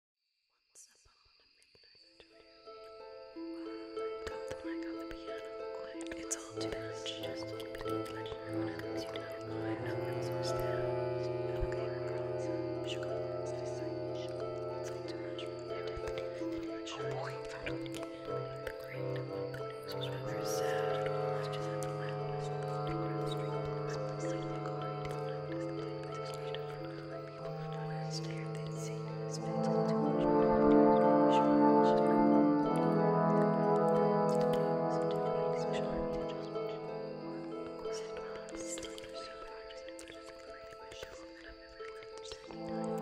Once upon a midnight I got the mic on the piano It's all too much. Just keep it in pleasure. When I lose you now, I know it's worse than Okay, girls. Sugar worms, this is sugar worms. It's all too much. Oh, I did the the end. I just had the loudest, the loudest, the the loudest, the loudest, the the loudest, the loudest, the the loudest, People who don't understand that Satan has been told to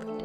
Thank you.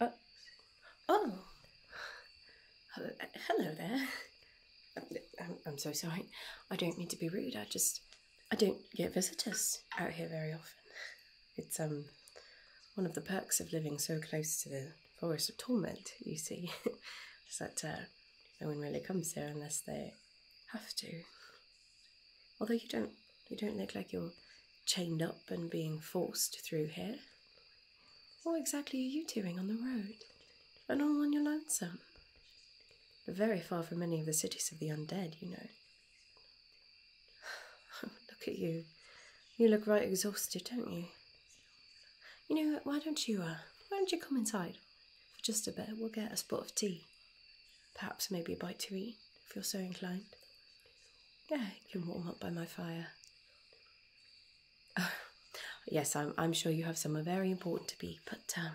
Uh, oh, hello there. Um, I'm, so sorry. I don't mean to be rude. I just I don't get visitors out here very often. It's um one of the perks of living so close to the Forest of Torment. You see, is that uh, no one really comes here unless they have to. Although you don't, you don't look like you're chained up and being forced through here. What exactly are you doing on the road, and all on your lonesome? you very far from any of the cities of the undead, you know. look at you. You look right exhausted, don't you? You know, why don't you, uh, why don't you come inside? For just a bit, we'll get a spot of tea. Perhaps maybe a bite to eat, if you're so inclined. Yeah, you can warm up by my fire. yes, I'm, I'm sure you have somewhere very important to be, but um,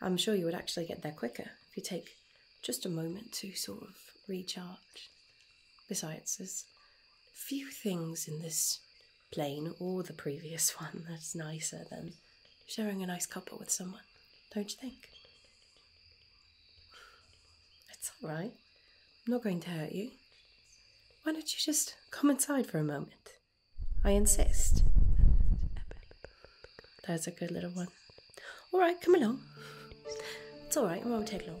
I'm sure you would actually get there quicker if you take just a moment to sort of recharge. Besides, there's few things in this plane or the previous one that's nicer than sharing a nice cuppa with someone, don't you think? It's alright. I'm not going to hurt you. Why don't you just come inside for a moment? I insist. That's a good little one. Alright, come along. It's alright, it won't take long.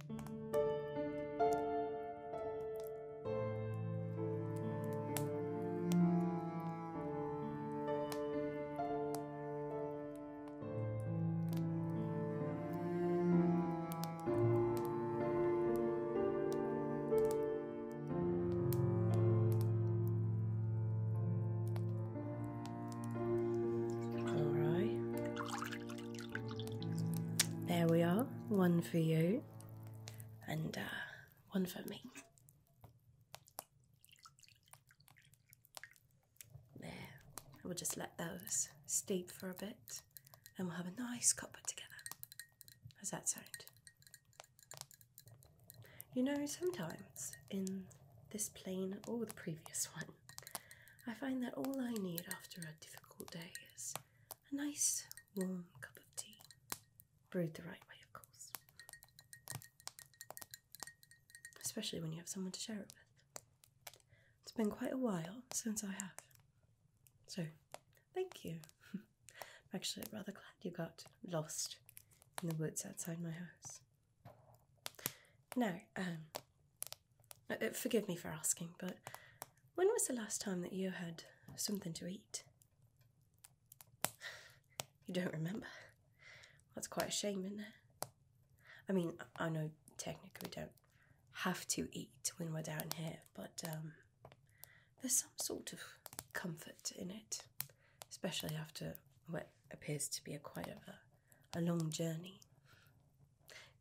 There we are, one for you and uh, one for me. There, I will just let those steep for a bit, and we'll have a nice cuppa together. How's that sound? You know, sometimes in this plane or the previous one, I find that all I need after a difficult day is a nice warm cup of tea, brewed the right way, of course, especially when you have someone to share it with. It's been quite a while since I have, so thank you. actually rather glad you got lost in the woods outside my house. Now, um, uh, uh, forgive me for asking, but when was the last time that you had something to eat? You don't remember? That's quite a shame, isn't it? I mean, I know technically we don't have to eat when we're down here, but um, there's some sort of comfort in it, especially after what appears to be a quite a, a long journey.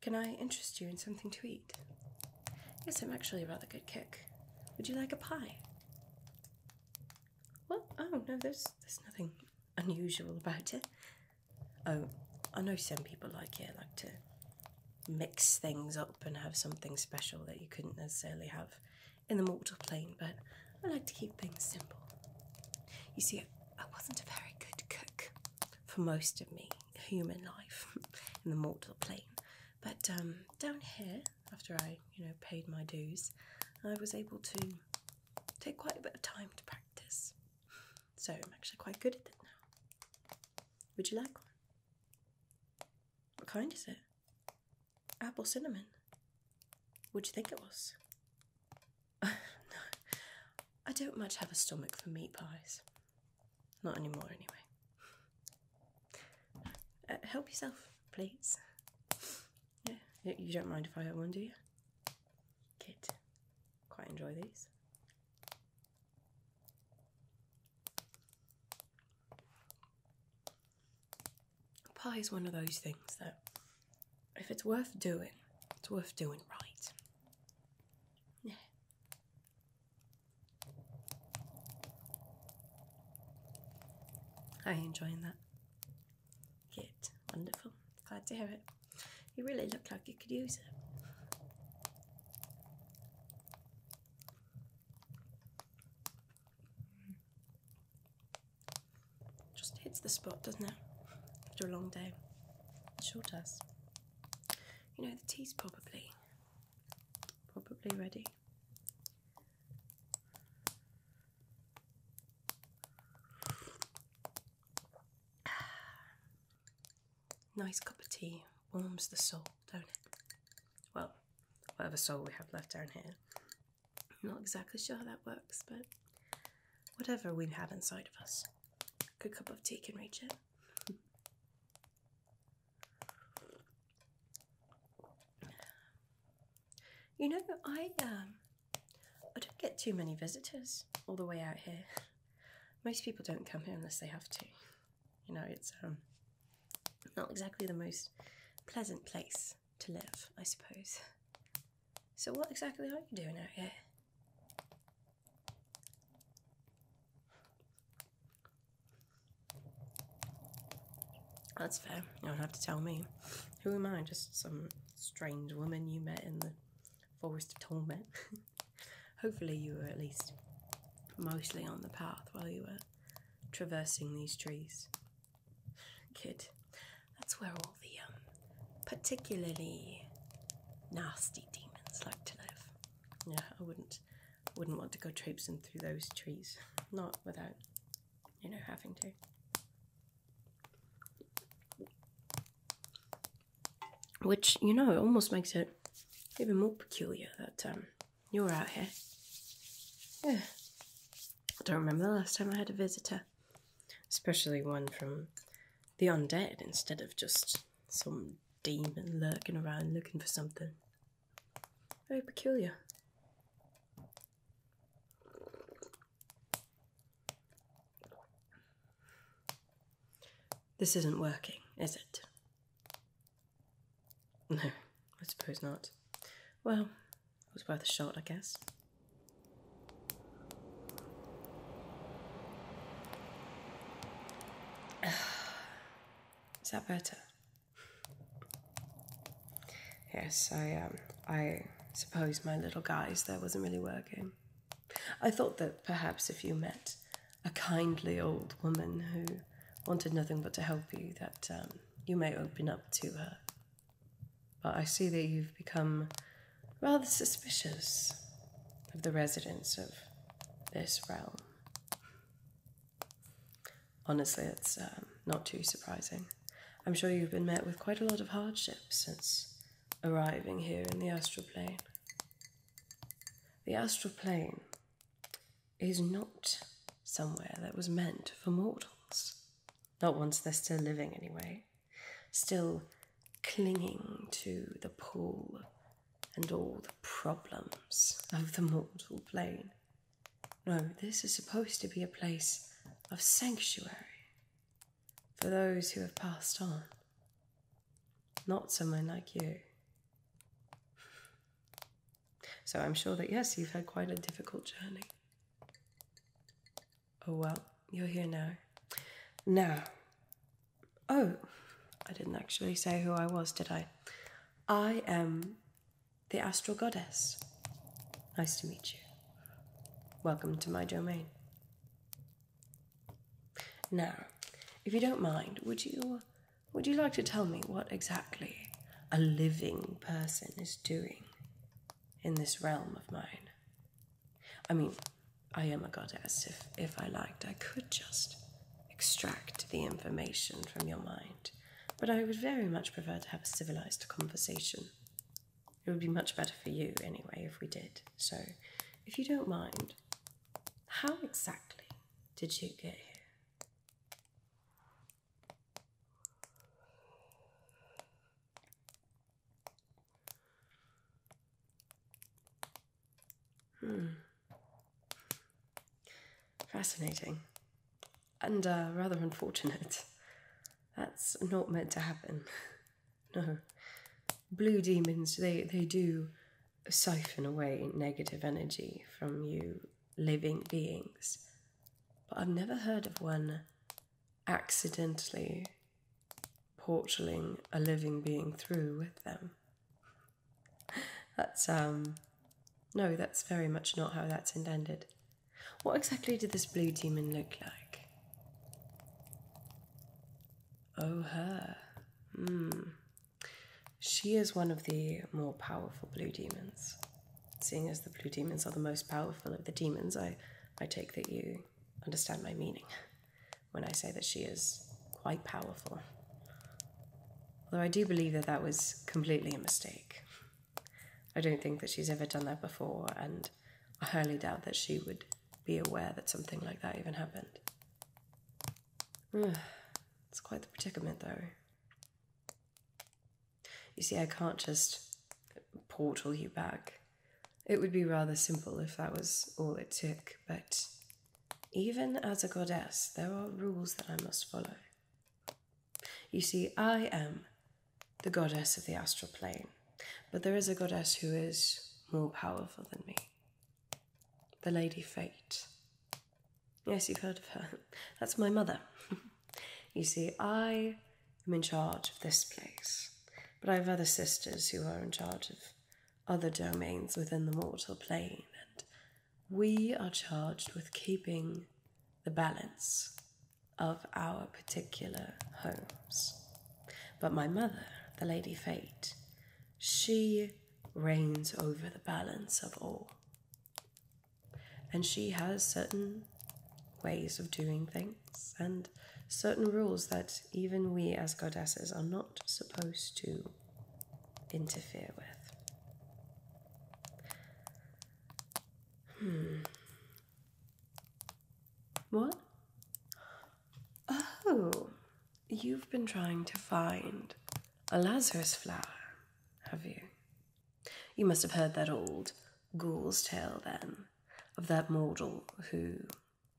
Can I interest you in something to eat? Yes, I'm actually a rather good cook. Would you like a pie? Well, oh no, there's there's nothing unusual about it. Oh, I know some people like it, like to mix things up and have something special that you couldn't necessarily have in the mortal plane, but I like to keep things simple. You see, I wasn't a very good cook for most of me human life in the mortal plane. But um, down here, after I, you know, paid my dues, I was able to take quite a bit of time to practice. So I'm actually quite good at it now. Would you like one? What kind is it? Apple cinnamon. Would you think it was? I don't much have a stomach for meat pies. Not anymore, anyway. Uh, help yourself, please. Yeah, you don't mind if I have one, do you? Kid, quite enjoy these. Pie is one of those things that, if it's worth doing, it's worth doing right. Yeah. Are you enjoying that? Good, wonderful. Glad to hear it. You really look like you could use it. Just hits the spot, doesn't it? After a long day. It sure does. You know, the tea's probably probably ready. nice cup of tea warms the soul, don't it? Well, whatever soul we have left down here. I'm not exactly sure how that works, but whatever we have inside of us, a good cup of tea can reach it. You know, I um, I don't get too many visitors all the way out here. Most people don't come here unless they have to. You know, it's um, not exactly the most pleasant place to live, I suppose. So, what exactly are you doing out here? That's fair. You don't have to tell me. Who am I? Just some strange woman you met in the forest of torment. Hopefully, you were at least mostly on the path while you were traversing these trees. kid. That's where all the um, particularly nasty demons like to live. Yeah, I wouldn't wouldn't want to go traipsing through those trees, not without, you know, having to. Which, you know, almost makes it even more peculiar that um, you're out here. Yeah. I don't remember the last time I had a visitor, especially one from the undead instead of just some demon lurking around looking for something. Very peculiar. This isn't working, is it? No, I suppose not. Well, it was worth a shot, I guess. Is that better? Yes, I um, I suppose my little guise there wasn't really working. I thought that perhaps if you met a kindly old woman who wanted nothing but to help you, that um, you may open up to her. But I see that you've become rather suspicious of the residents of this realm. Honestly, it's um, not too surprising. I'm sure you've been met with quite a lot of hardship since arriving here in the astral plane. The astral plane is not somewhere that was meant for mortals. Not once they're still living, anyway. Still clinging to the pull and all the problems of the mortal plane. No, this is supposed to be a place of sanctuary for those who have passed on, not someone like you. So I'm sure that, yes, you've had quite a difficult journey. Oh well, you're here now. Now, Oh, I didn't actually say who I was, did I? I am the astral goddess. Nice to meet you. Welcome to my domain. Now, if you don't mind, would you would you like to tell me what exactly a living person is doing in this realm of mine? I mean, I am a goddess. If if I liked, I could just extract the information from your mind, but I would very much prefer to have a civilized conversation. It would be much better for you, anyway, if we did. So, if you don't mind, how exactly did you get here? Hmm. Fascinating. And uh, rather unfortunate. That's not meant to happen. no. Blue demons, they, they do siphon away negative energy from you living beings. But I've never heard of one accidentally portaling a living being through with them that's um no, that's very much not how that's intended. What exactly did this blue demon look like? Oh, her. Hmm. She is one of the more powerful blue demons. Seeing as the blue demons are the most powerful of the demons, I, I take that you understand my meaning when I say that she is quite powerful. Although I do believe that that was completely a mistake. I don't think that she's ever done that before, and I highly doubt that she would be aware that something like that even happened. it's quite the predicament, though. You see, I can't just portal you back. It would be rather simple if that was all it took, but even as a goddess, there are rules that I must follow. You see, I am the goddess of the astral plane, but there is a goddess who is more powerful than me the Lady Fate. Yes, you've heard of her. That's my mother. you see, I am in charge of this place, but I have other sisters who are in charge of other domains within the mortal plane we are charged with keeping the balance of our particular homes. But my mother, the Lady Fate, she reigns over the balance of all. And she has certain ways of doing things and certain rules that even we as goddesses are not supposed to interfere with. Hmm. What? Oh, you've been trying to find a Lazarus flower, have you? You must have heard that old ghoul's tale then, of that mortal who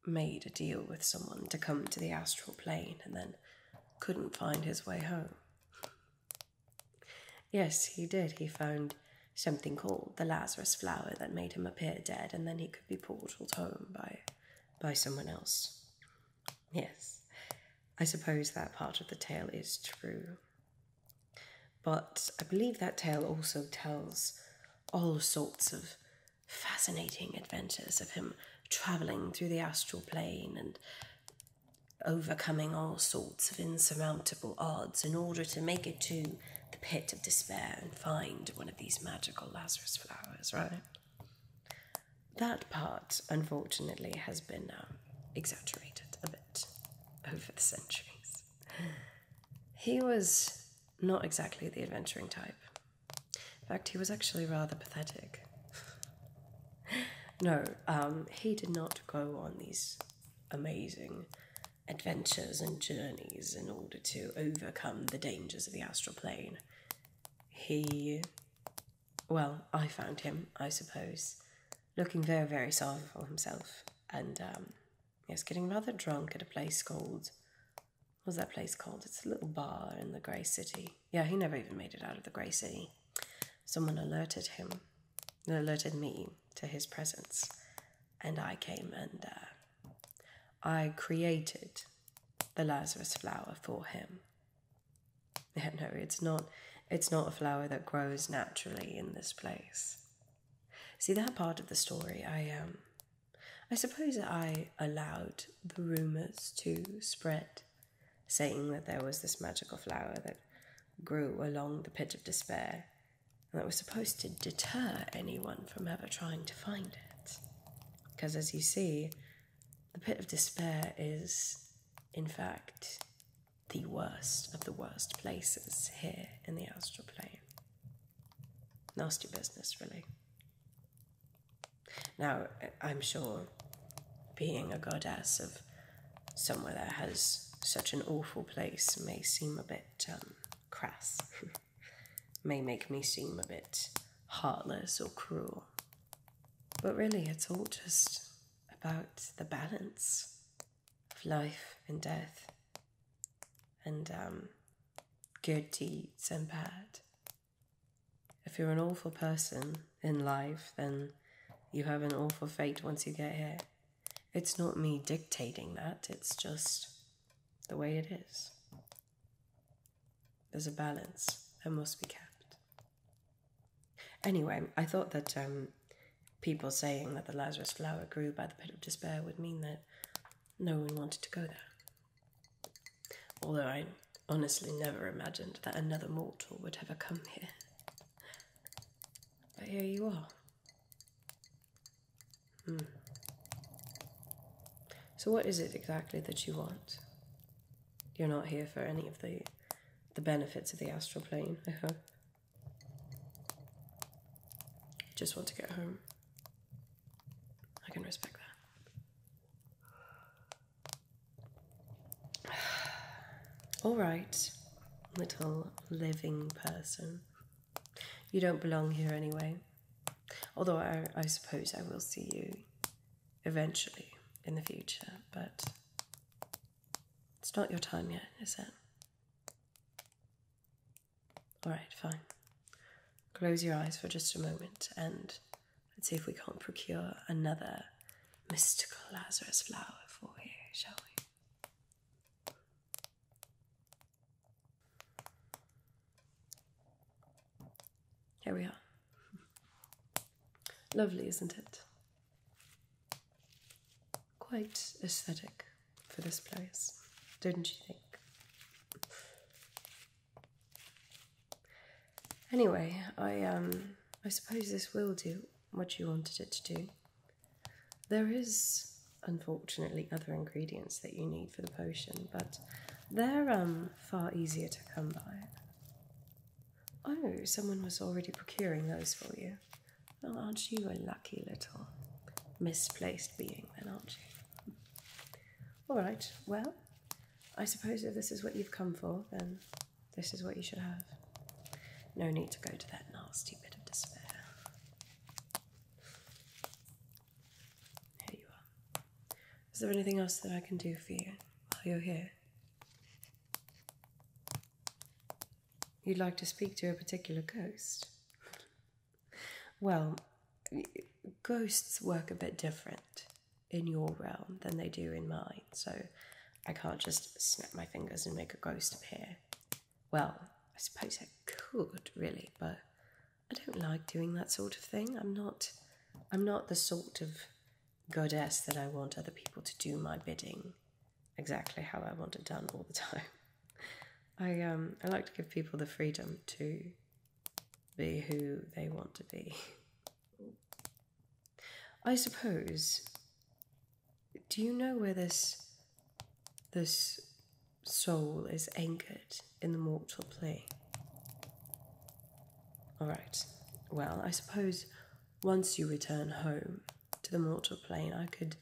made a deal with someone to come to the astral plane and then couldn't find his way home. Yes, he did. He found something called the Lazarus flower that made him appear dead, and then he could be portaled home by, by someone else. Yes, I suppose that part of the tale is true. But I believe that tale also tells all sorts of fascinating adventures of him traveling through the astral plane and overcoming all sorts of insurmountable odds in order to make it to the pit of despair and find one of these magical Lazarus flowers, right? That part, unfortunately, has been um, exaggerated a bit over the centuries. He was not exactly the adventuring type. In fact, he was actually rather pathetic. no, um, he did not go on these amazing adventures and journeys in order to overcome the dangers of the astral plane. He, well, I found him, I suppose, looking very, very sorry for himself and, um, yes, getting rather drunk at a place called. What was that place called? It's a little bar in the Grey City. Yeah, he never even made it out of the Grey City. Someone alerted him, alerted me to his presence, and I came and uh, I created the Lazarus flower for him. no, it's not. It's not a flower that grows naturally in this place. See that part of the story. I um, I suppose I allowed the rumors to spread saying that there was this magical flower that grew along the pit of despair and that was supposed to deter anyone from ever trying to find it. Because as you see, the pit of despair is, in fact, the worst of the worst places here in the astral plane. Nasty business, really. Now, I'm sure being a goddess of somewhere that has such an awful place may seem a bit um, crass, may make me seem a bit heartless or cruel. But really, it's all just about the balance of life and death, and um, good deeds and bad, if you're an awful person in life, then you have an awful fate once you get here. It's not me dictating that, it's just the way it is. There's a balance that must be kept. Anyway, I thought that um, people saying that the Lazarus flower grew by the pit of despair would mean that no one wanted to go there. Although I honestly never imagined that another mortal would ever come here. But here you are. Hmm. So, what is it exactly that you want? You're not here for any of the the benefits of the astral plane, I hope. I Just want to get home. I can respect that. All right, little living person. You don't belong here anyway. Although I, suppose I will see you eventually in the future, but it's not your time yet, is it? All right, fine. Close your eyes for just a moment and Let's see if we can't procure another mystical Lazarus flower for you, shall we? Here we are. Lovely, isn't it? Quite aesthetic for this place, did not you think? Anyway, I um I suppose this will do what you wanted it to do. There is unfortunately other ingredients that you need for the potion, but they're um far easier to come by. Oh, someone was already procuring those for you. Well, aren't you a lucky little misplaced being, then, aren't you? All right, well, I suppose if this is what you've come for, then this is what you should have. No need to go to that nasty bit of despair. Here you are. Is there anything else that I can do for you while you're here? You'd like to speak to a particular ghost? Well, ghosts work a bit different in your realm than they do in mine. So I can't just snap my fingers and make a ghost appear. Well, I suppose I could really, but I don't like doing that sort of thing. I'm not I'm not the sort of goddess that I want other people to do my bidding exactly how I want it done all the time. I um I like to give people the freedom to be who they want to be. I suppose. Do you know where this this soul is anchored in the mortal plane? All right. Well, I suppose once you return home to the mortal plane, I could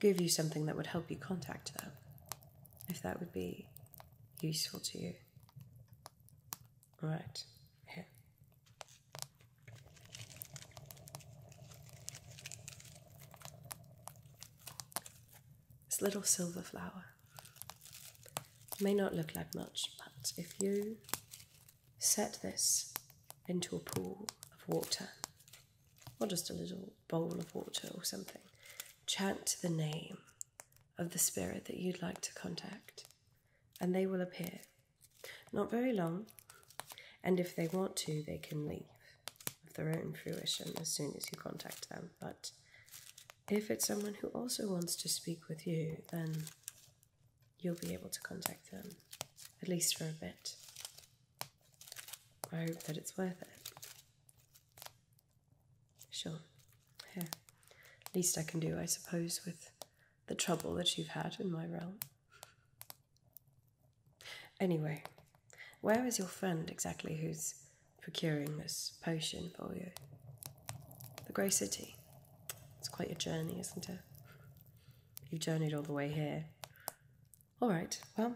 give you something that would help you contact them, if that would be useful to you right here. This little silver flower may not look like much, but if you set this into a pool of water, or just a little bowl of water or something, chant the name of the spirit that you'd like to contact and they will appear. Not very long, and if they want to, they can leave of their own fruition as soon as you contact them. But if it's someone who also wants to speak with you, then you'll be able to contact them, at least for a bit. I hope that it's worth it. Sure. Yeah. Least I can do, I suppose, with the trouble that you've had in my realm. Anyway, where is your friend exactly who's procuring this potion for you? The Grey City. It's quite a journey, isn't it? You've journeyed all the way here. All right, well,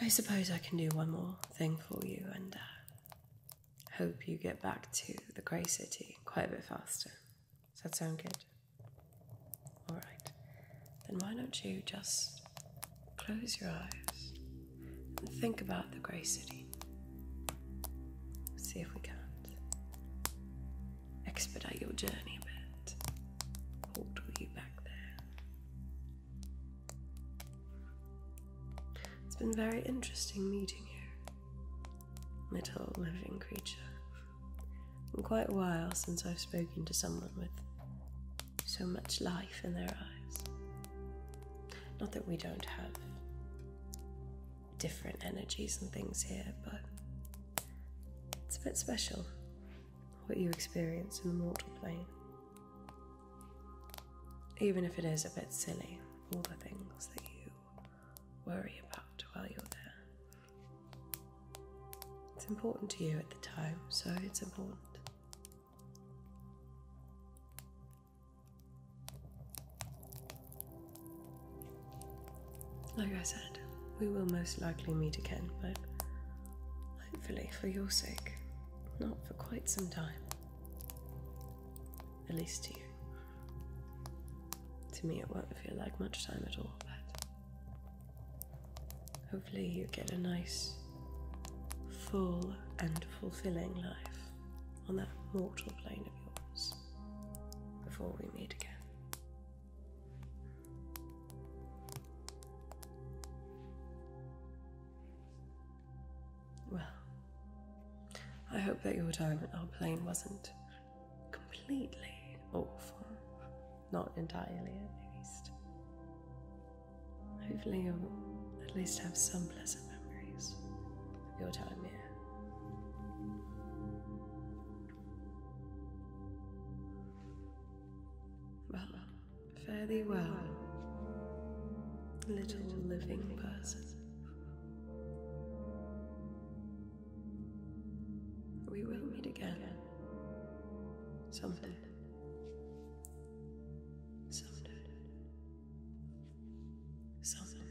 I suppose I can do one more thing for you, and uh, hope you get back to the grey city quite a bit faster. Does that sound good? Alright, then why don't you just close your eyes and think about the grey city? See if we can't expedite your journey a bit, portal you back there. It's been very interesting meeting you little living creature. quite a while since I've spoken to someone with so much life in their eyes. Not that we don't have different energies and things here, but it's a bit special what you experience in the mortal plane. Even if it is a bit silly, all the things that you worry about while you're there. It's important to you at the time, so it's important. Like I said, we will most likely meet again, but hopefully for your sake, not for quite some time at least to you. To me, it won't feel like much time at all, but hopefully, you get a nice, full, and fulfilling life on that mortal plane of yours before we meet again. Well, I hope that your time in our plane wasn't completely awful. Not entirely, at least. Hopefully, you'll at least have some pleasant memories of your time here. Well, fare thee well, little living person. We will meet again. Someday. Someday. Someday.